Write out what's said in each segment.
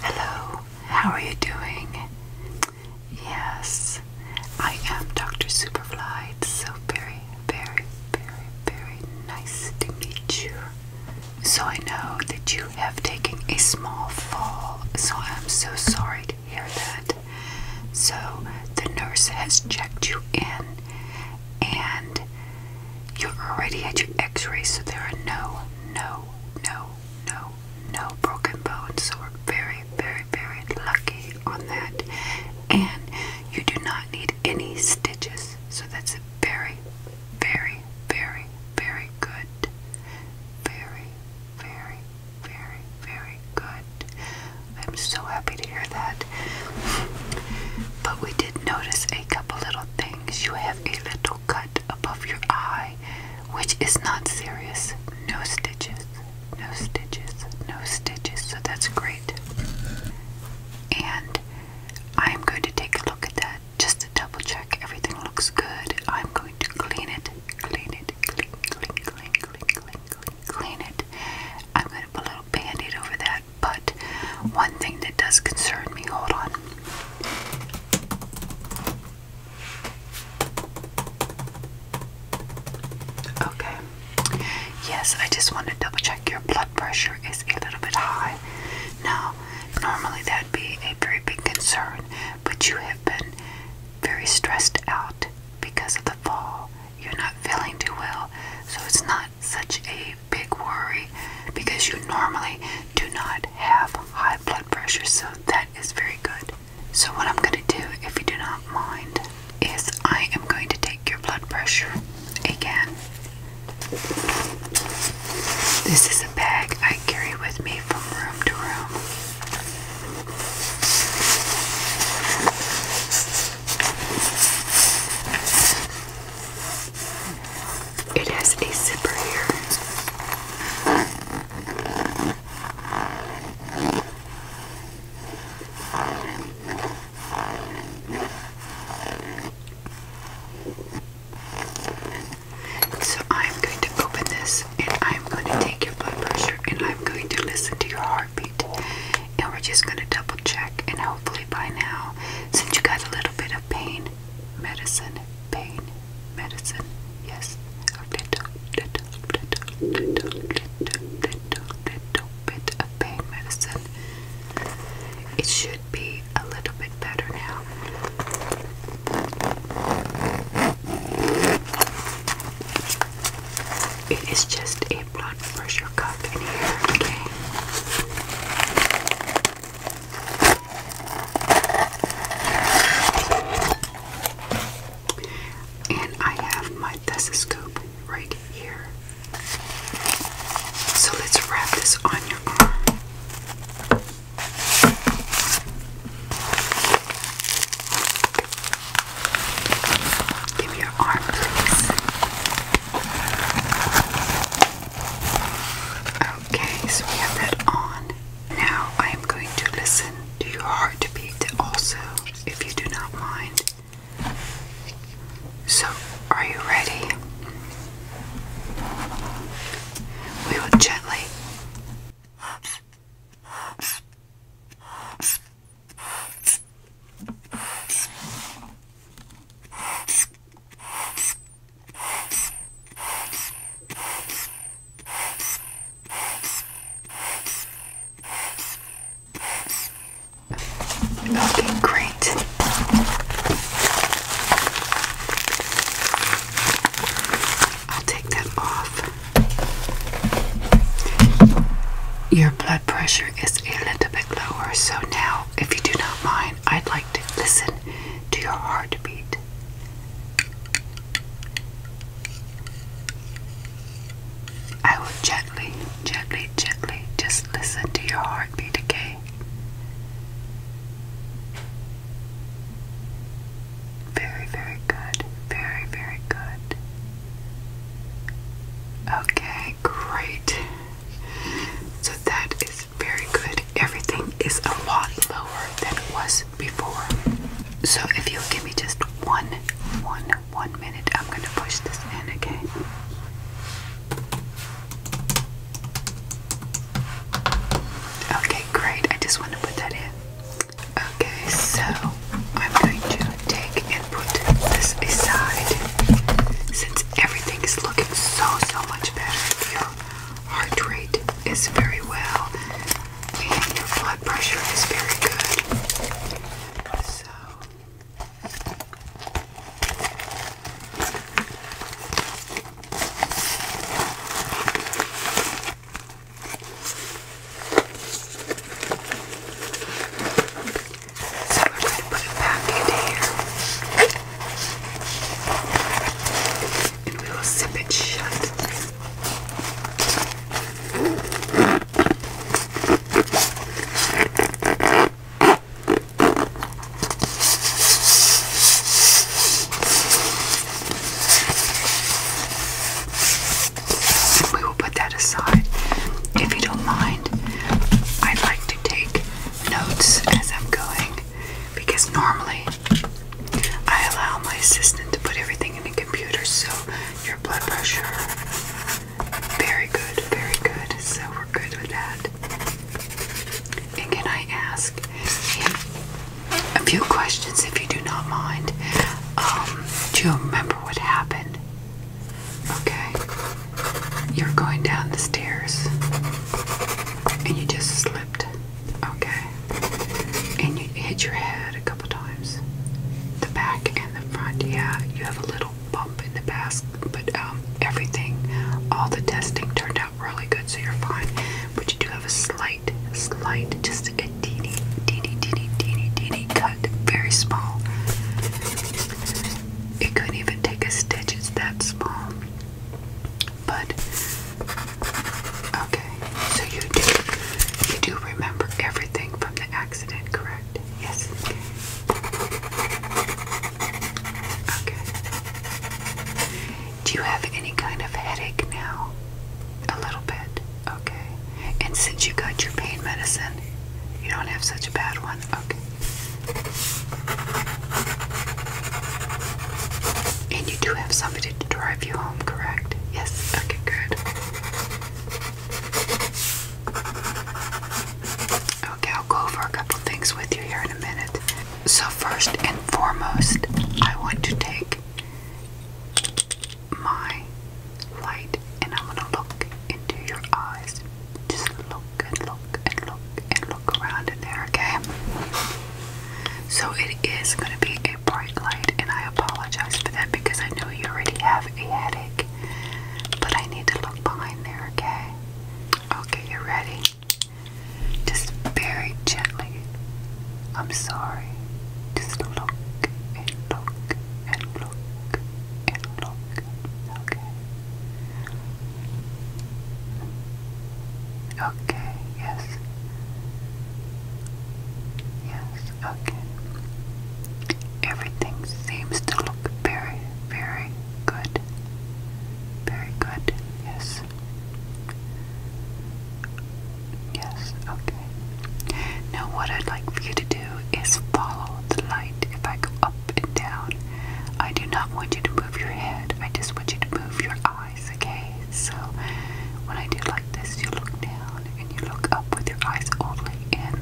Hello, how are you doing? Yes, I am Dr. Superfly. It's so very, very, very, very nice to meet you. So I know that you have taken a small fall, so I'm so sorry to hear that. So the nurse has checked you in and you are already had your x-ray so there are no, no, no, no, no broken bones. So we're very, very, very lucky on that. And you do not need any stitches. So that's very, very, very, very good. Very, very, very, very good. I'm so happy to hear that. But we did notice a couple little things. You have a little cut above your eye, which is not serious. No stitches, no stitches, no stitches. So that's great. And I'm going to take a look at that just to double check everything looks good. I'm going to clean it, clean it, clean, clean, clean, clean, clean, clean, clean it. I'm going to put a little band aid over that, but one thing that does concern me, hold on. Okay. Yes, I just want to double check your blood pressure is a little bit high. Now, normally that'd be a very big concern, but you have been very stressed out because of the fall, you're not feeling too well, so it's not such a big worry because you normally do not have high blood pressure, so that is very good. So, what I'm going to do, if you do not mind, is I am going to take your blood pressure again. This is a bag I carry with me from room to room. It has a zipper here. So I'm going to open this and I'm going to take your blood pressure and I'm going to listen to your heartbeat and we're just going to double check and hopefully by now since you got a little bit of pain medicine pain medicine yes a little little little little little little little bit of pain medicine it should be a little bit better now it is just a blood pressure cuff in here, okay? And I have my thesoscope right here. So let's wrap this on your arm. Give me your arm, please. Okay, so we have that on. Now I am going to listen to your heartbeat also, if you do not mind. So, are you ready? We will gently. Looking great. I'll take that off. Your blood pressure is a little bit lower, so now, if you do not mind, I'd like to listen to your heartbeat. I will gently, gently, gently just listen to your heartbeat, okay? Very, very good. Very, very good. Okay, great. So that is very good. Everything is a lot lower than it was before. So if you'll give me just one, one, one minute, I'm going to push this in, again. Okay, great. I just want to put that in. Okay, so I'm going to take and put this aside since everything is looking so, so much better. Your heart rate is very well and your blood pressure is very good. So. So we're going to put it back in here. And we will zip it shut. we will put that aside. If you don't mind, I'd like to take notes as I'm going because normally I allow my assistant to put everything in the computer so your blood pressure. Very good, very good. So we're good with that. And can I ask a few questions if you do not mind. Um, do you remember what happened? Okay. You're going down the stairs and you just slipped. Okay. And you hit your head a couple times. The back and the front. Yeah, you have a little bump in the past, but um, everything, all the testing turned out really good, so you're fine. But you do have a slight slight, slight, just a teeny, teeny, teeny, teeny, teeny cut, very small. It couldn't even take a stitch, it's that small. But okay, so you do you do remember everything from the accident, correct? Yes. Okay. Okay. Do you have any kind of headache now? A little bit. Okay. And since you got your pain medicine, you don't have such a bad one. Okay. And you do have somebody to drive you home, correct? Yes. Okay, good. Okay, I'll go over a couple things with you here in a minute. So, first and foremost, I want to take my light and I'm to look into your eyes. Just look and look and look and look around in there, okay? So it is gonna be a bright light, and I apologize for that because I know you already have a headache. But I need to look behind there, okay? Okay, you are ready? Just very gently. I'm sorry. Just look and look look look. Okay. Okay, yes. Yes, okay. Everything seems to look very, very good. Very good, yes. Yes, okay. Now, what I'd like for you to do is follow the light. If I go up and down, I do not want you to move your head, I just want you to move your eyes, okay? So, when I do like this, you look down and you look up with your eyes only and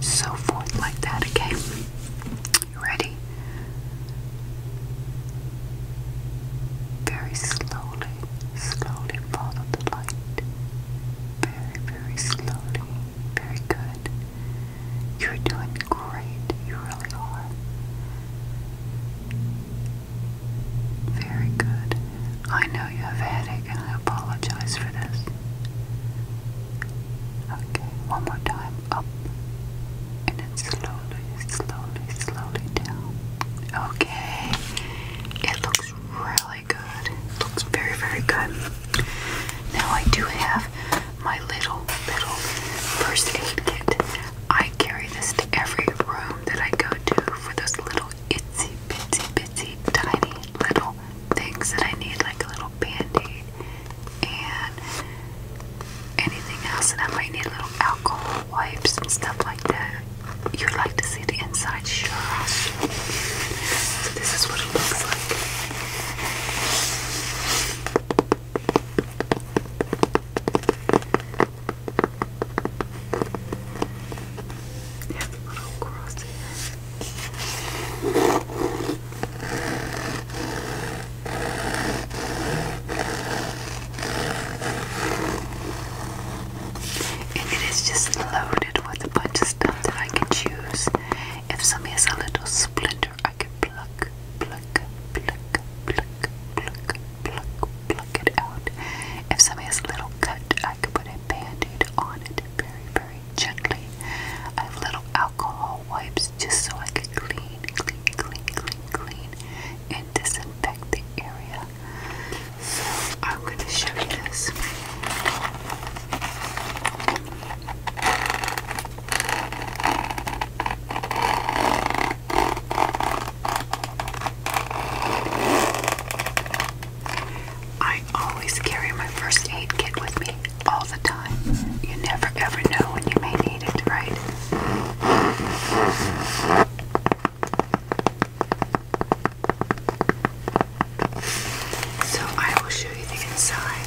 so forth, like that, okay? You ready? Very slowly, Slowly follow the light. Very, very slowly. Very good. You're doing great. You really are. Very good. I know you have a headache and I apologize for this. Okay, one more time. Up. And then slowly, slowly, slowly down. Okay. It looks really good. looks very, very good. Now I do have my little, little first aid kit. I carry this to every room that I go to for those little itsy bitsy bitsy tiny little things that I need, like a little band-aid and anything else and I might need, little alcohol wipes and stuff like that you would like to see the inside, sure. this is what it looks like. Yeah, little cross and it is just loaded with a bunch of stuff that I can choose. If somebody has a little splinter, I can pluck, pluck, pluck, pluck, pluck, pluck, pluck it out. If somebody has a little cut, I can put a band-aid on it very, very gently. I have little alcohol wipes just so I can clean, clean, clean, clean, clean, and disinfect the area. I'm going to show you this. I always carry my first aid kit with me all the time. You never ever know when you may need it, right? So I will show you the inside.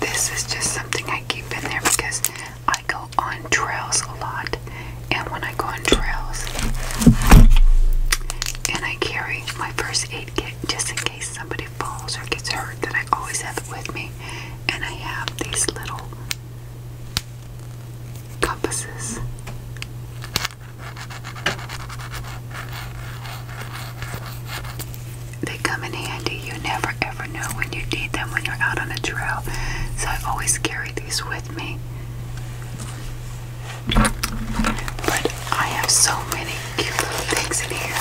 This is just something I keep in there because I go on trails a lot, and when I go on trails, and I carry my first aid just in case somebody falls or gets hurt that I always have it with me. And I have these little compasses. They come in handy. You never ever know when you need them when you're out on a trail. So I always carry these with me. But I have so many cute little things in here.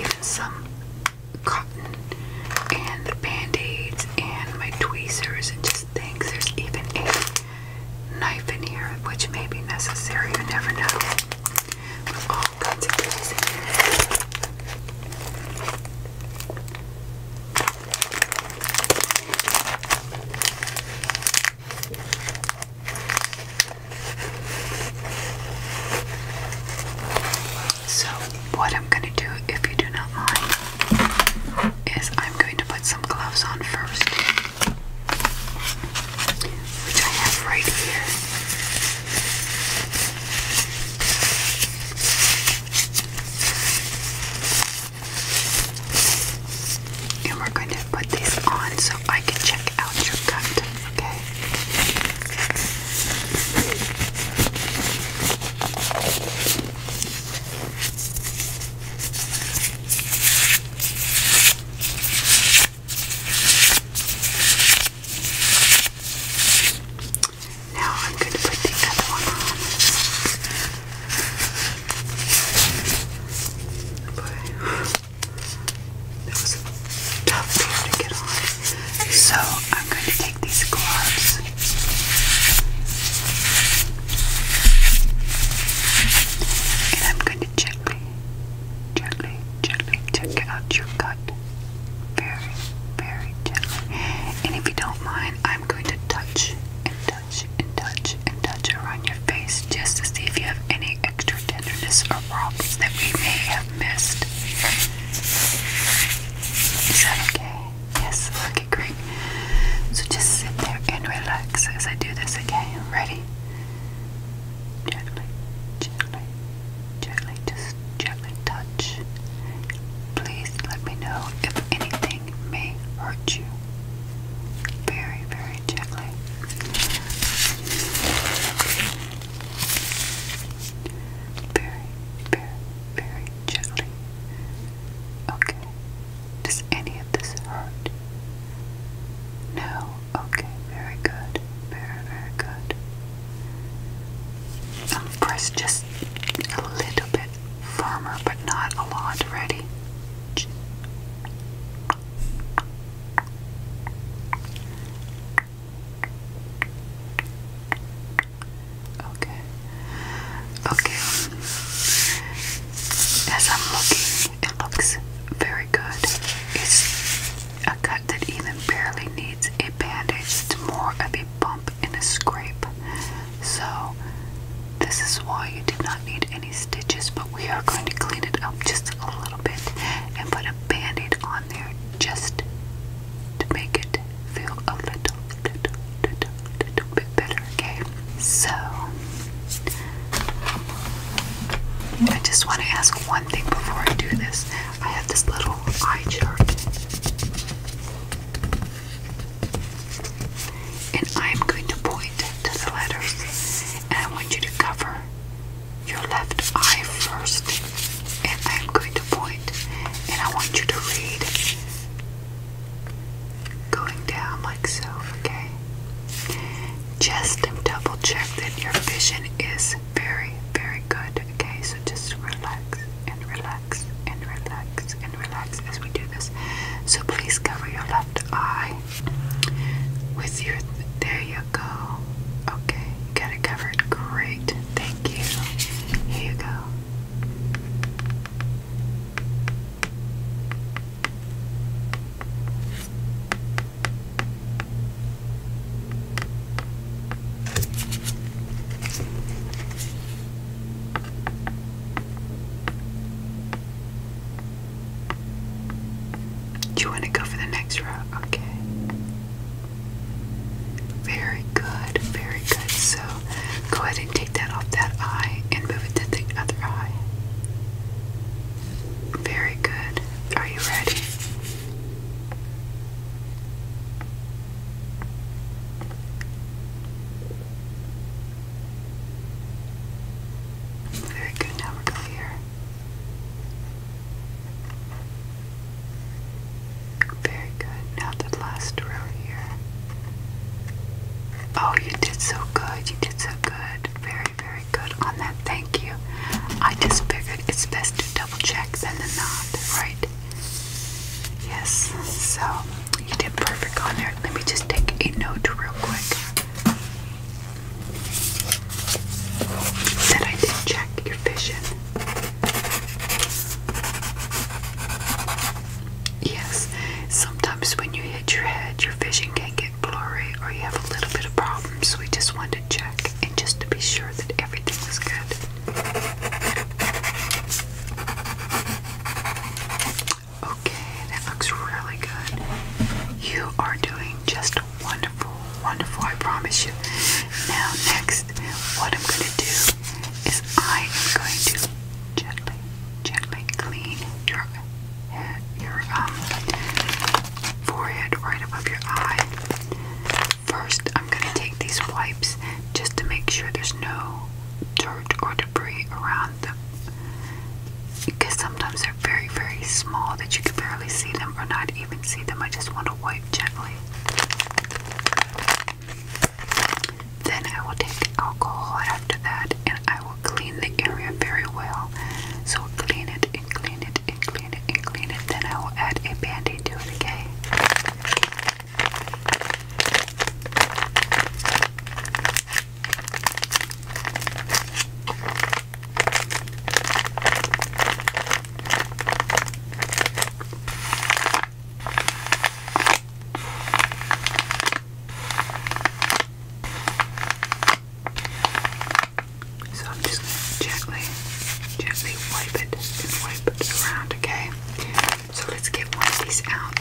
Even some cotton and band-aids and my tweezers and just these things. There's even a knife in here, which may be necessary. You never know. So, what I'm going to do, if you do not mind, is I'm going to put some gloves on first, which I have right here. And we're going to put these on so I can check out your cut, okay? Now I'm going to put the other one on. Boy, that was a tough door to get on. So I'm going to these gloves. And I'm going to gently, gently, gently check out your cut, Very, very gently. And if you don't mind, I'm going to touch and touch and touch and touch around your face just to see if you have any extra tenderness or problems that we may have missed. Is that okay? Yes, okay, great. So just sit there and relax as I do this, okay? Ready? Gently, gently, gently, just gently touch. Please let me know if anything may hurt you. Very, very gently. Very, very, very gently. Okay. Does any of this hurt? No. Okay. Very good. Very, very good. Um, press just a little bit firmer, but not a lot. Ready? Okay. Okay. As I'm looking, it looks very good. It's a cut that even barely needs a bandage. It's more of a bump and a scrape. So, this is why you did not need any stitches, but we are going to clean it up just a little bit and put a band aid on there just to make it feel a little, little, little, little bit better, okay? So, I just want to ask one thing before I do this. I have this little eye chart, and I'm going to point to the letters, and I want you to cover your left eye first, and I'm going to point, and I want you to read going down like so, okay? Just double check that your vision is very, very good, okay? So just relax and relax and relax and relax as we do this. So please cover your left eye with your. there you go. Okay, you got it covered. Great. Thank you. Here you go. Do you want to go for the next row? Okay. Very good, very good. So go ahead and take that off that eye and move it to the other eye. Very good. Are you ready? Very good. Now we're going very good. Now the last row here. Oh, you did so good. You did so good. Very, very good on that. Thank you. I just figured it's best to double check than to not, right? Yes. So you did perfect on there. Let me just take a note real quick. That I did check your vision. Yes, sometimes when you hit your head, your vision can get blurry or you have a little bit of problems. So we just want to check and just to be sure that everything is good. Okay, that looks really good. You are doing just wonderful, wonderful, I promise you. Now, next, what I'm going to do is I am going to gently, gently clean your your um, forehead right above your eye. First, I'm going to take these wipes just to make sure there's no dirt or debris around them. Because sometimes they're very, very small that you can barely see them or not even see them. I just want to wipe gently. Then I will take alcohol after that and I will clean the area very well. So clean it and clean it and clean it and clean it. Then I will add a band-aid to it, again. So I'm just going to gently, gently wipe it wipe it around, okay? So let's get one of these out.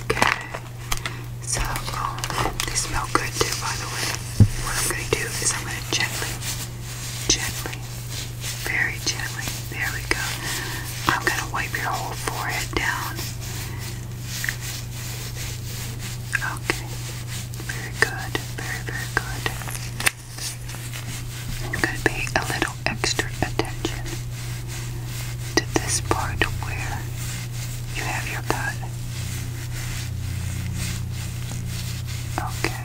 Okay. So, oh, they smell good too, by the way. What I'm going to do is I'm going to gently, gently, very gently, there we go. I'm going to wipe your whole forehead down. Okay. Very good. Very, very good. i be a little extra attention to this part where you have your butt. Okay.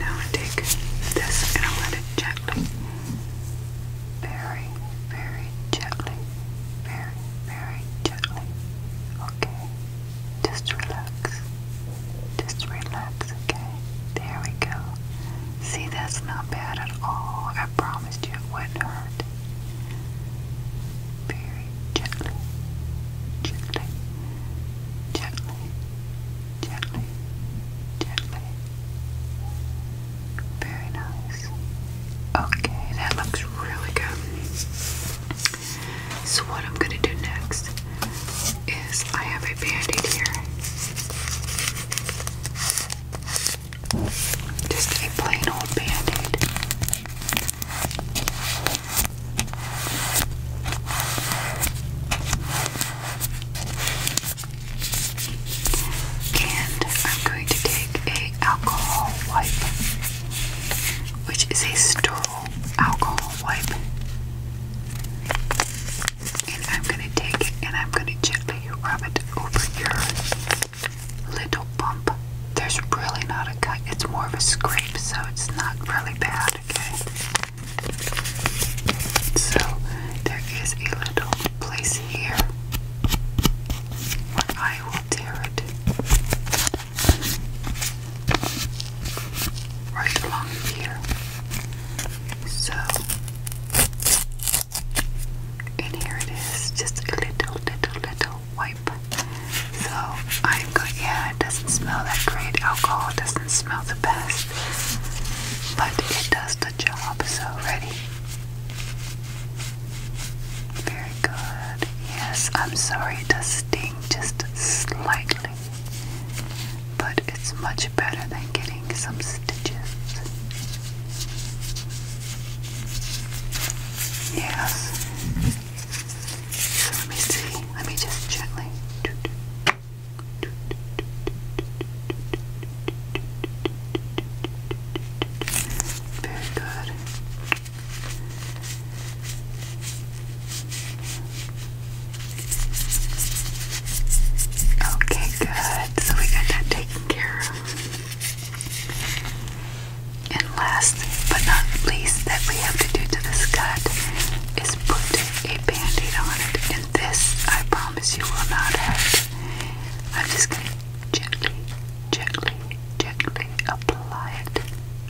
Now I take this and i let it gently, very, very gently, very, very gently. Okay. Just relax. Just relax, okay? There we go. See, that's not bad at all. I promised you it wouldn't hurt. Very gently, gently, gently, gently, gently. Very nice. Okay, that looks really good. So, what I'm going to do next is I have a band here. Just a plain old band And I'm going to take a alcohol wipe, which is a sterile alcohol wipe and I'm gonna take it and I'm gonna gently rub it over your little bump. There's really not a cut, it's more of a scrape, so it's not really bad, okay? So there is a little place here where I will tear it right along here. So, and here it is, just a little, little, little wipe. So, I'm going, yeah, it doesn't smell that great. Alcohol doesn't smell the best, but it does the job. So, ready? Very good. Yes, I'm sorry, to sting just slightly but it's much better than getting some stitches. Yes. let me see. Let me just gently. Very good. Okay, good. So we got that taken care of. And last but not least, that we have to do to this cut is put a band aid on it. And this, I promise you, will not hurt. I'm just going to gently, gently, gently apply it.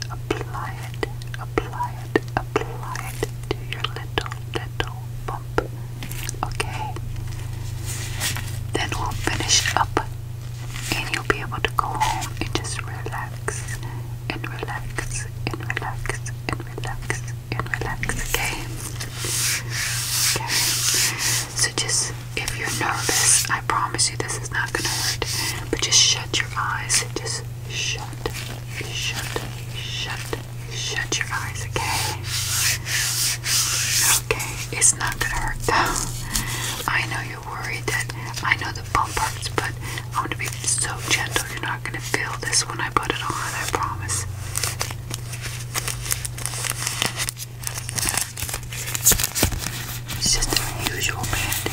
Apply it, apply it, apply it to your little, little Okay. Then we'll finish up and you'll be able to go home and just relax and relax and relax and relax and relax. Okay. So just if you're nervous, I promise you this is not gonna hurt. But just shut your eyes. Just shut, shut, shut, Shut your eyes, okay? Okay, it's not gonna hurt though. I know you're worried that I know the bump hurts, but I'm gonna be so gentle. You're not gonna feel this when I put it on, I promise. It's just an usual band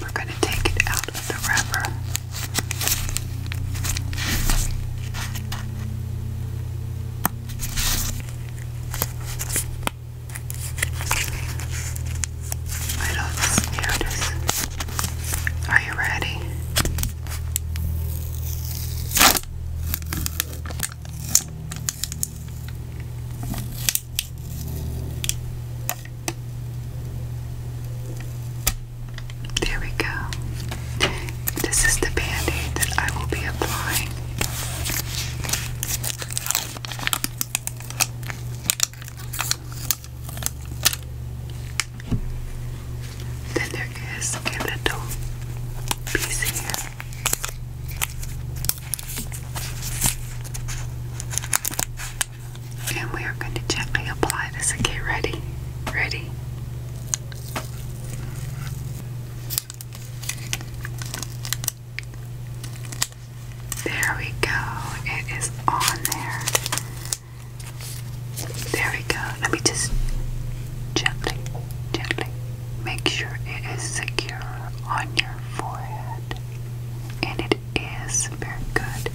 we're going to take it out of the wrapper little scooters. Are you ready? There we go. This is the band aid that I will be applying. Then there is a piece here. And we are going to gently apply this. Okay, ready? Ready? There we go. It is on there. There we go. Let me just gently, gently make sure it is secure on your forehead. And it is very good.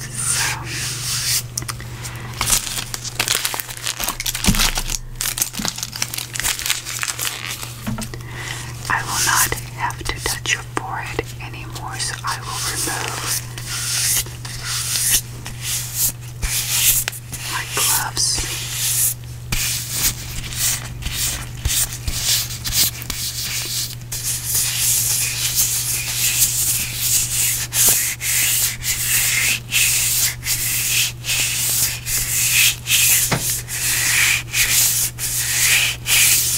So I will not have to touch your your forehead anymore, so I will remove my gloves.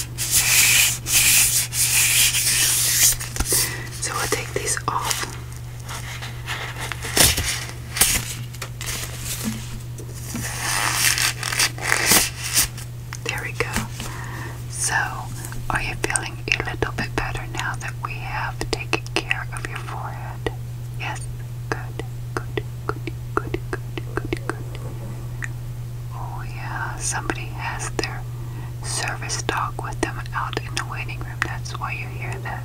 So we take these off. There we go. So, are you feeling a little bit better now that we have taken care of your forehead? Yes. Good. Good. Good. Good. Good. Good. Oh, yeah, somebody has their service dog with them out in the waiting room. That's why you hear that.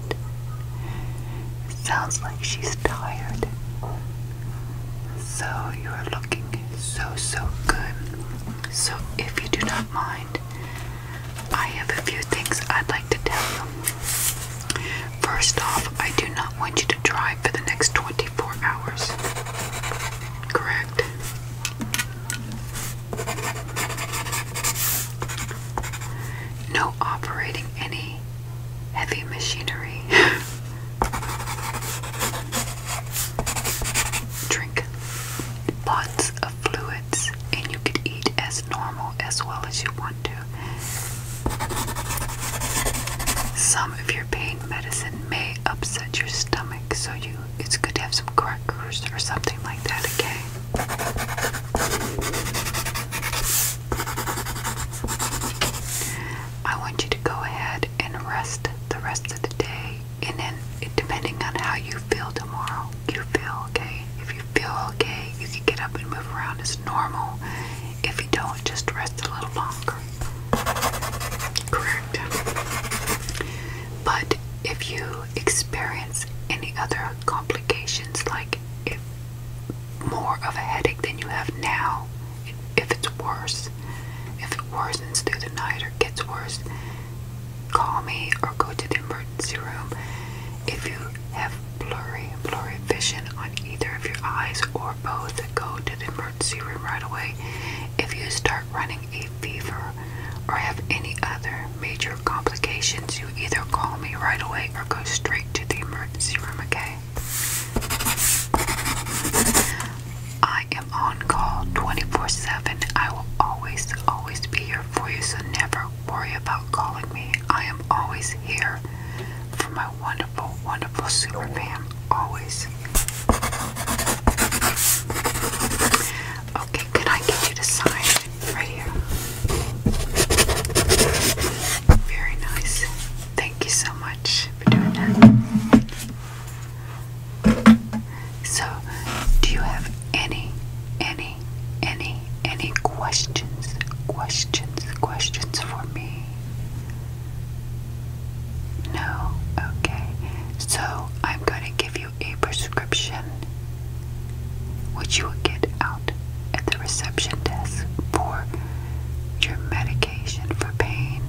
sounds like she's tired. So, you're looking so, so good. So, if you do not mind, I have a few things I'd like to tell you. First off, I do not want you to drive for the next 20 24 hours. Correct? No operating any heavy machinery. Drink lots of fluids, and you could eat as normal as well as you want to. Some of your pain medicine may upset your stomach so you it's good to have some crackers or something like that, okay? I want you to go ahead and rest the rest of the day, and then depending on how you feel tomorrow, you feel okay. If you feel okay, you can get up and move around as normal. If you don't, just rest a little longer. Correct. But if you experience any other complications, like if more of a headache than you have now, if it's worse, if it worsens through the night or gets worse, call me or go to the emergency room. If you have blurry, blurry vision on either of your eyes or both, go to the emergency room right away if you start running a fever or have any other major complications you either call me right away or go straight to the emergency room okay I am on call 24/7 I will always always be here for you so never worry about calling me I am always here for my wonderful wonderful super always Okay, could I get you to sign right here? Very nice. Thank you so much for doing that. So, do you have any, any, any, any questions, questions, questions for me? No? Okay. So I'm going to give you a prescription, which you will get out at the reception desk for your medication for pain.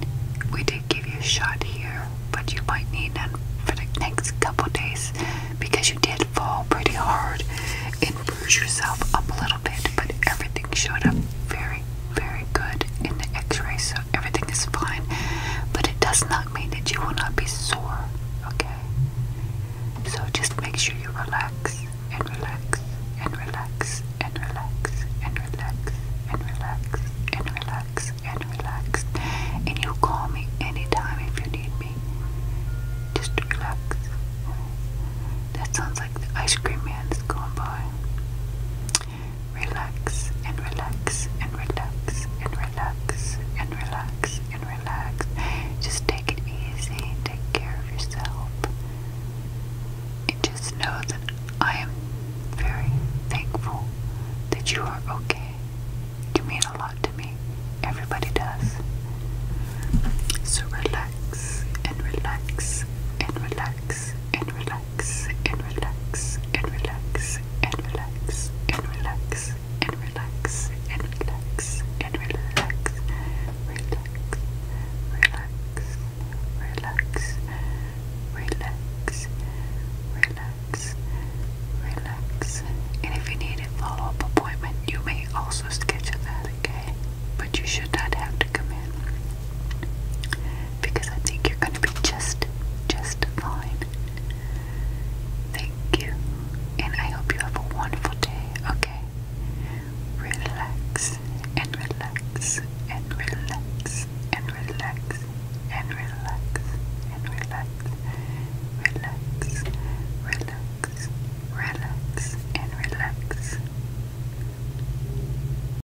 We did give you a shot here, but you might need none for the next couple days because you did fall pretty hard and bruise yourself up a little bit, but everything showed up very, very good in the x rays everything is fine. But it does not mean that you will not be sore, okay? So just make sure you relax and relax and relax and relax and relax and relax and relax and relax. And you call me anytime if you need me. Just relax. That sounds like the ice cream man is going by. Relax and relax and relax and relax and relax and relax. Just take it easy. Take care of yourself. And just know that I am very thankful that you are okay. You mean a lot to me. Everybody does. So relax and relax and relax and relax relax and relax and relax and relax and relax and relax and relax and relax relax relax relax relax relax relax and if you need a follow-up appointment you may also schedule that okay but you should not have to come in because I think you're going to be just, just fine. Thank you, and I hope you have a wonderful day, okay? Relax and relax and relax and relax and relax and relax, relax, relax, relax, and relax.